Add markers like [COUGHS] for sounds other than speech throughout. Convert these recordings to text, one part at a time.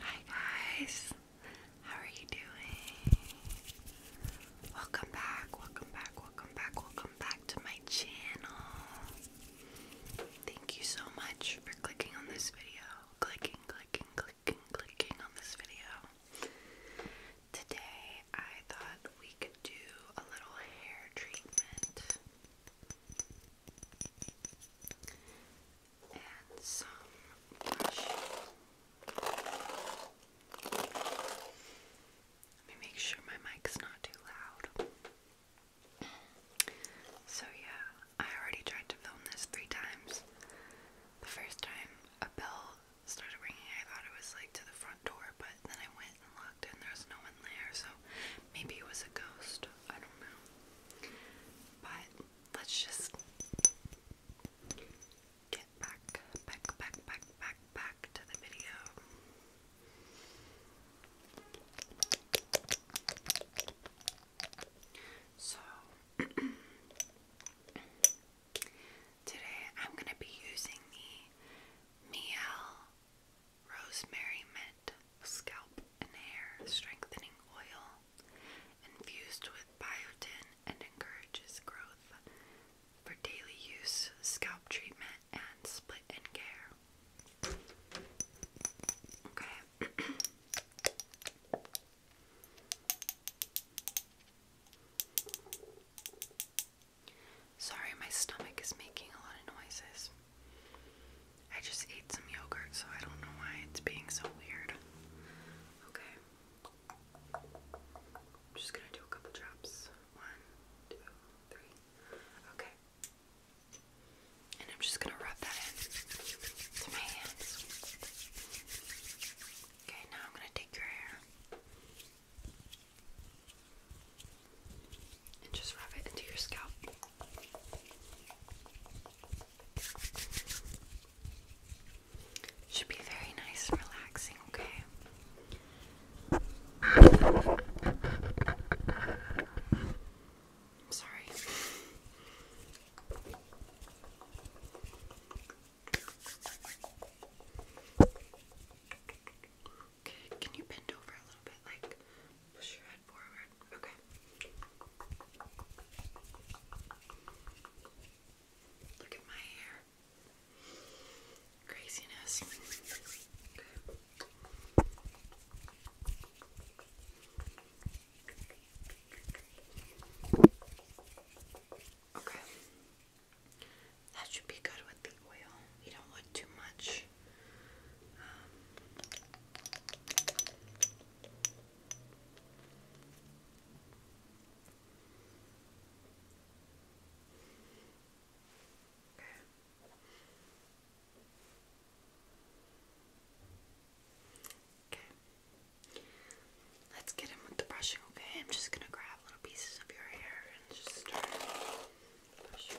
Hi guys, how are you doing? Welcome back, welcome back, welcome back, welcome back to my channel. Thank you so much for clicking on this video. Clicking, clicking, clicking, clicking on this video. Today I thought we could do a little hair treatment. Let me make sure my mic's not too loud. So, yeah, I already tried to film this three times. The first time a bell started ringing, I thought it was like to the front door, but then I went and looked and there was no one there, so maybe it was a ghost. I don't know. But let's just get back, back, back, back, back, back to the video. So, [CLEARS THROAT] today I'm going to be using the Miel Rosemary Mint scalp, and hair strengthening oil infused with biotin and encourages growth for daily use, scalp treatment, and split and care. Okay. [COUGHS] Sorry, my stomach is making a lot of noises. I just ate some yogurt, so I don't know why it's being so weird. Okay. I'm just gonna do a couple drops. One, two, three. Okay. And I'm just gonna rub that in my hands. Okay, now I'm gonna take your hair and just rub it into your scalp. Should be very nice and relaxing, okay? I'm sorry. Okay, can you bend over a little bit like Push your head forward. Okay. Look at my hair. Craziness. Okay. That should be good with the oil. You don't want too much. Okay. Let's get him with the brushing, okay? I'm just gonna grab little pieces of your hair and just start brushing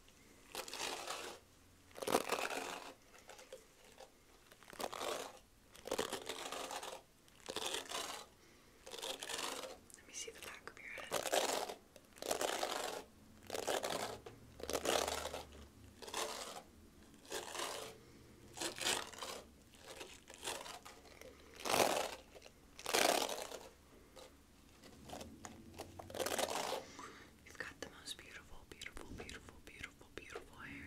Let me see the back of your head. You've got the most beautiful, beautiful, beautiful, beautiful, beautiful hair.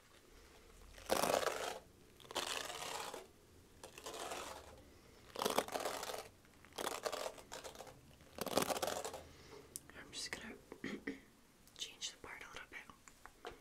I'm just gonna [COUGHS] change the part a little bit. Okay.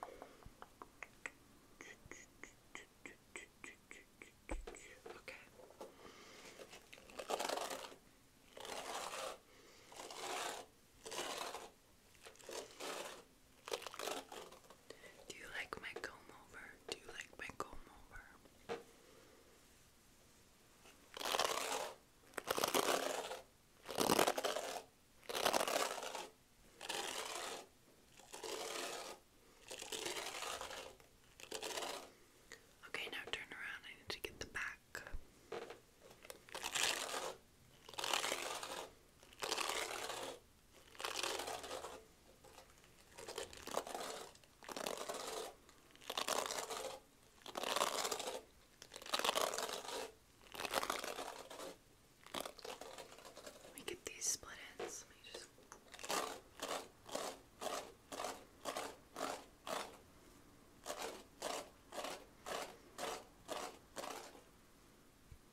Do you like my comb over? Do you like my comb over? Okay, now turn around. I need to get the back. We get these split ends. Let me just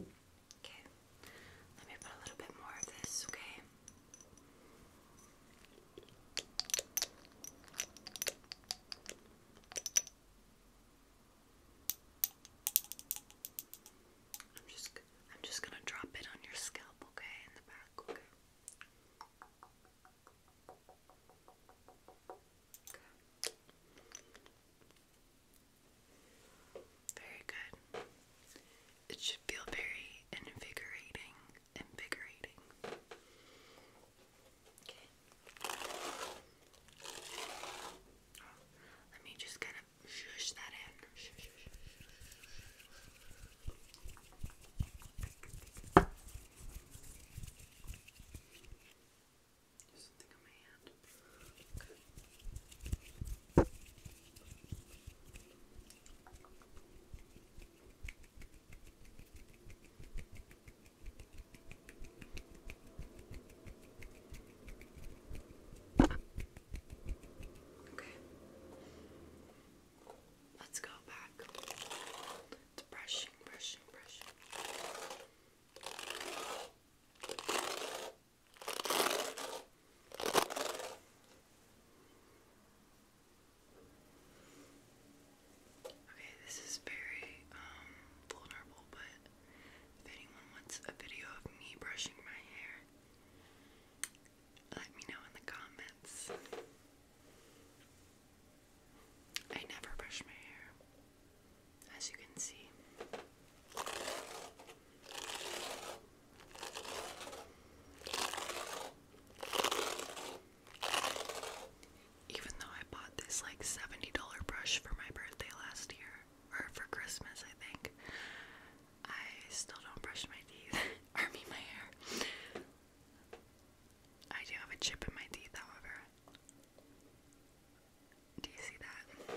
Okay, let me put a little bit more of this, okay? I'm just I'm just gonna drop it on your scalp, okay, in the back, okay. Very good. It should feel very invigorating. Invigorating. Okay. let me just kind of shush that in. Shush, shush. Something on my hand. Okay. Okay. Let's go back to brushing, brushing, brushing. Okay, this is very um, vulnerable, but if anyone wants a video of me brushing my hair, let me know in the comments. I never brush my hair, as you can see. Even though I bought this like $70 brush for my birthday last year, or for Christmas, I think, I still don't brush my teeth, [LAUGHS] or I my hair. I do have a chip in my teeth, however. Do you see that?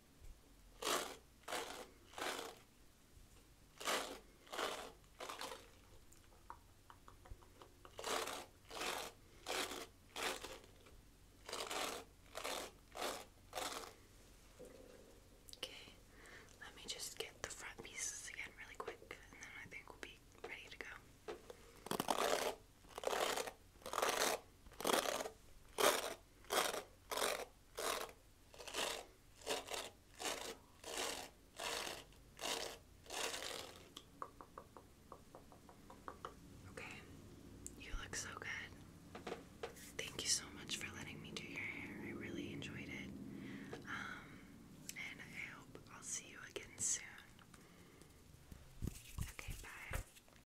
Okay, let me just get the front pieces again really quick, and then I think we'll be ready to go. Okay, you look so good. Thank you so much for letting me do your hair. I really enjoyed it. Um, and I hope I'll see you again soon. Okay, bye.